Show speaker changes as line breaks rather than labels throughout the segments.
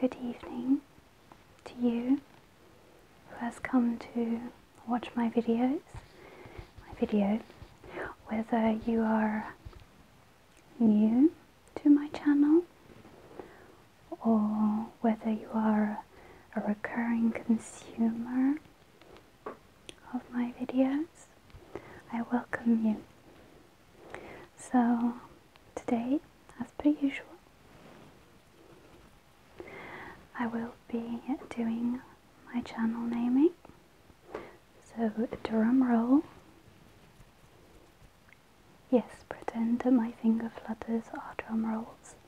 Good evening to you who has come to watch my videos, my video, whether you are new to my channel or whether you are a recurring consumer of my videos, I welcome you. So, today, as per usual, I will be doing my channel naming. So, drum roll. Yes, pretend that my finger flutters are drum rolls.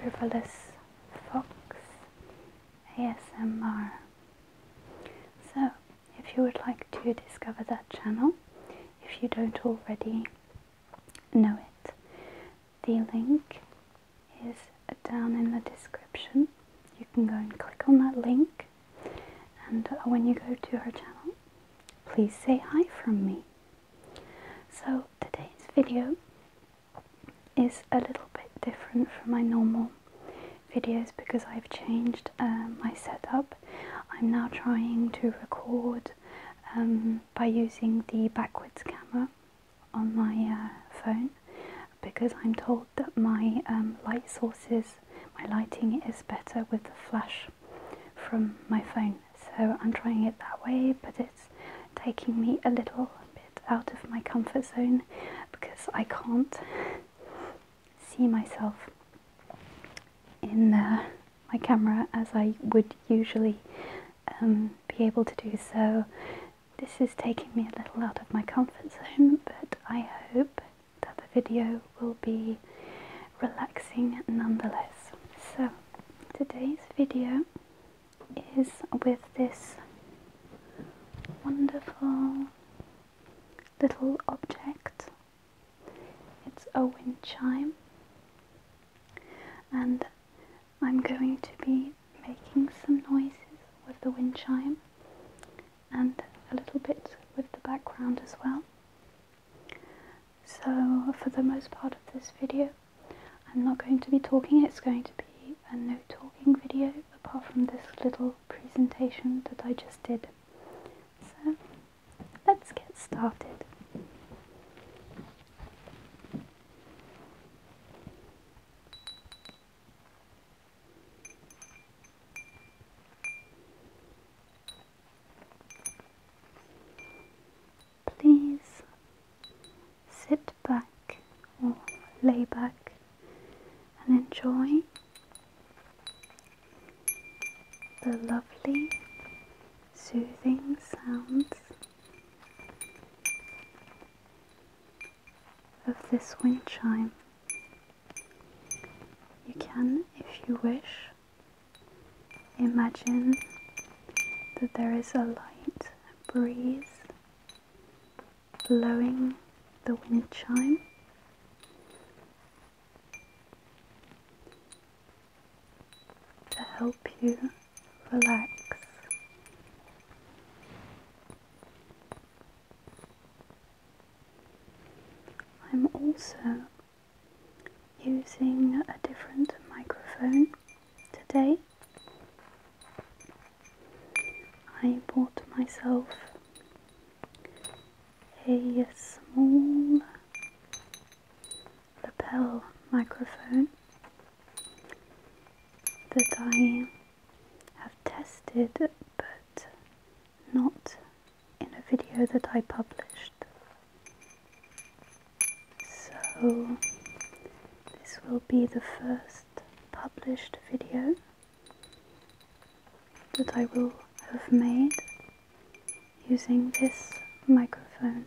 Frivolous Fox ASMR. So, if you would like to discover that channel, if you don't already know it, the link is down in the description. You can go and click on that link, and uh, when you go to her channel, please say hi from me. So today's video is a little bit different from my normal videos because I've changed um, my setup. I'm now trying to record um, by using the backwards camera on my uh, phone because I'm told that my um, light sources, my lighting is better with the flash from my phone so I'm trying it that way, but it's taking me a little bit out of my comfort zone because I can't see myself in uh, my camera as I would usually um, be able to do. So this is taking me a little out of my comfort zone, but I hope that the video will be relaxing nonetheless. So, today's video is with this wonderful little object. It's a wind chime, and I'm going to be making some noises with the wind chime and a little bit with the background as well. So for the most part of this video, I'm not going to be talking, it's going to be a no talking video apart from this little presentation that I just did. So let's get started. Please sit back or lay back and enjoy the lovely soothing sounds of this wind chime. You can, if you wish, Imagine that there is a light breeze blowing the wind chime. To help you relax, I'm also using a different microphone today. I bought myself a small lapel microphone that I have tested but not in a video that I published. So, this will be the first published video that I will have made using this microphone.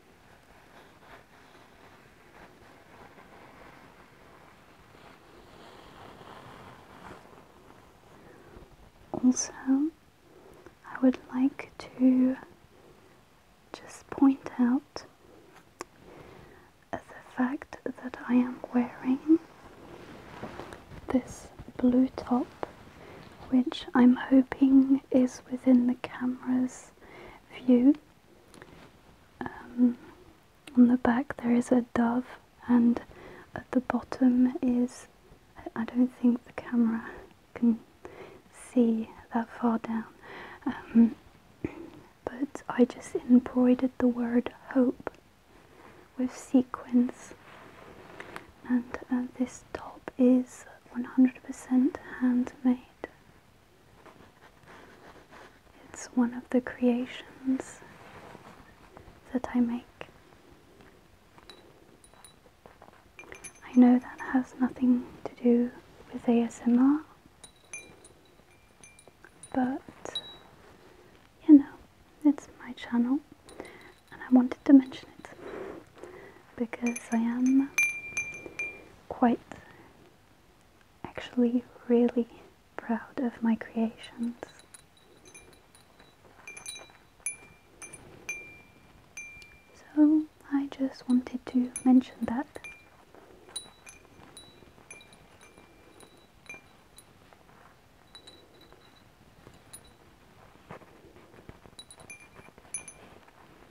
Also, I would like to just point out the fact that I am wearing this blue top, which I'm hoping is within the camera's view. Um, on the back there is a dove, and at the bottom is I don't think the camera can see that far down, um, but I just embroidered the word hope with sequins, and uh, this top is 100% handmade. It's one of the creations that I make. I know that has nothing to do with ASMR, but you know, it's my channel and I wanted to mention it because I am quite actually really proud of my creations. So I just wanted to mention that.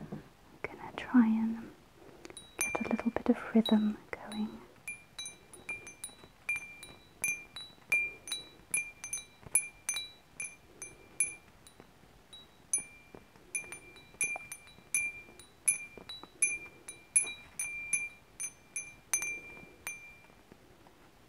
I'm gonna try and get a little bit of rhythm going.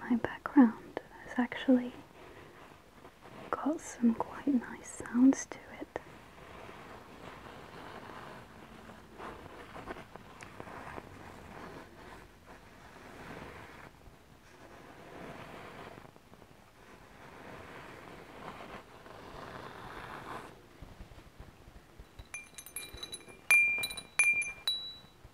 my background has actually got some quite nice sounds to it.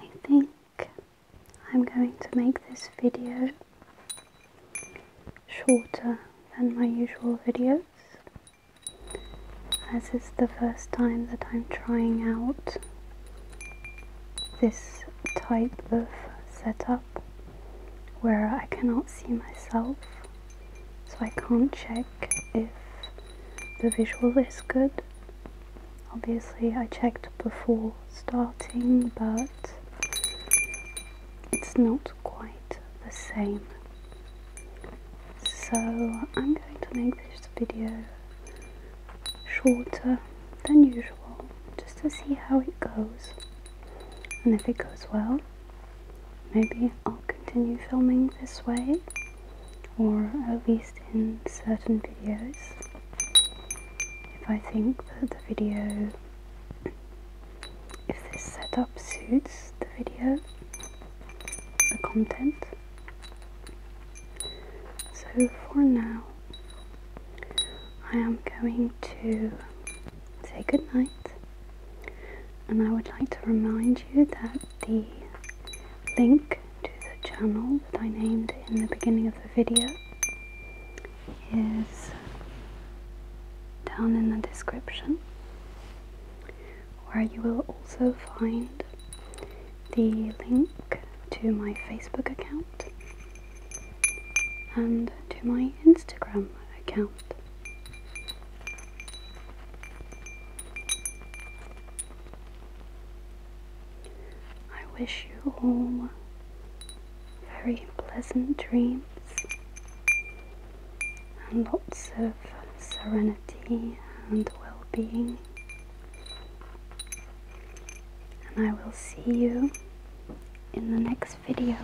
I think I'm going to make this video shorter than my usual videos as it's the first time that I'm trying out this type of setup where I cannot see myself so I can't check if the visual is good obviously I checked before starting but it's not quite the same. So I'm going to make this video shorter than usual just to see how it goes. And if it goes well, maybe I'll continue filming this way or at least in certain videos. If I think that the video if this setup suits the video, the content. So for now, I am going to say good night, and I would like to remind you that the link to the channel that I named in the beginning of the video is down in the description where you will also find the link to my Facebook account and to my Instagram account. I wish you all very pleasant dreams and lots of serenity and well being. And I will see you in the next video.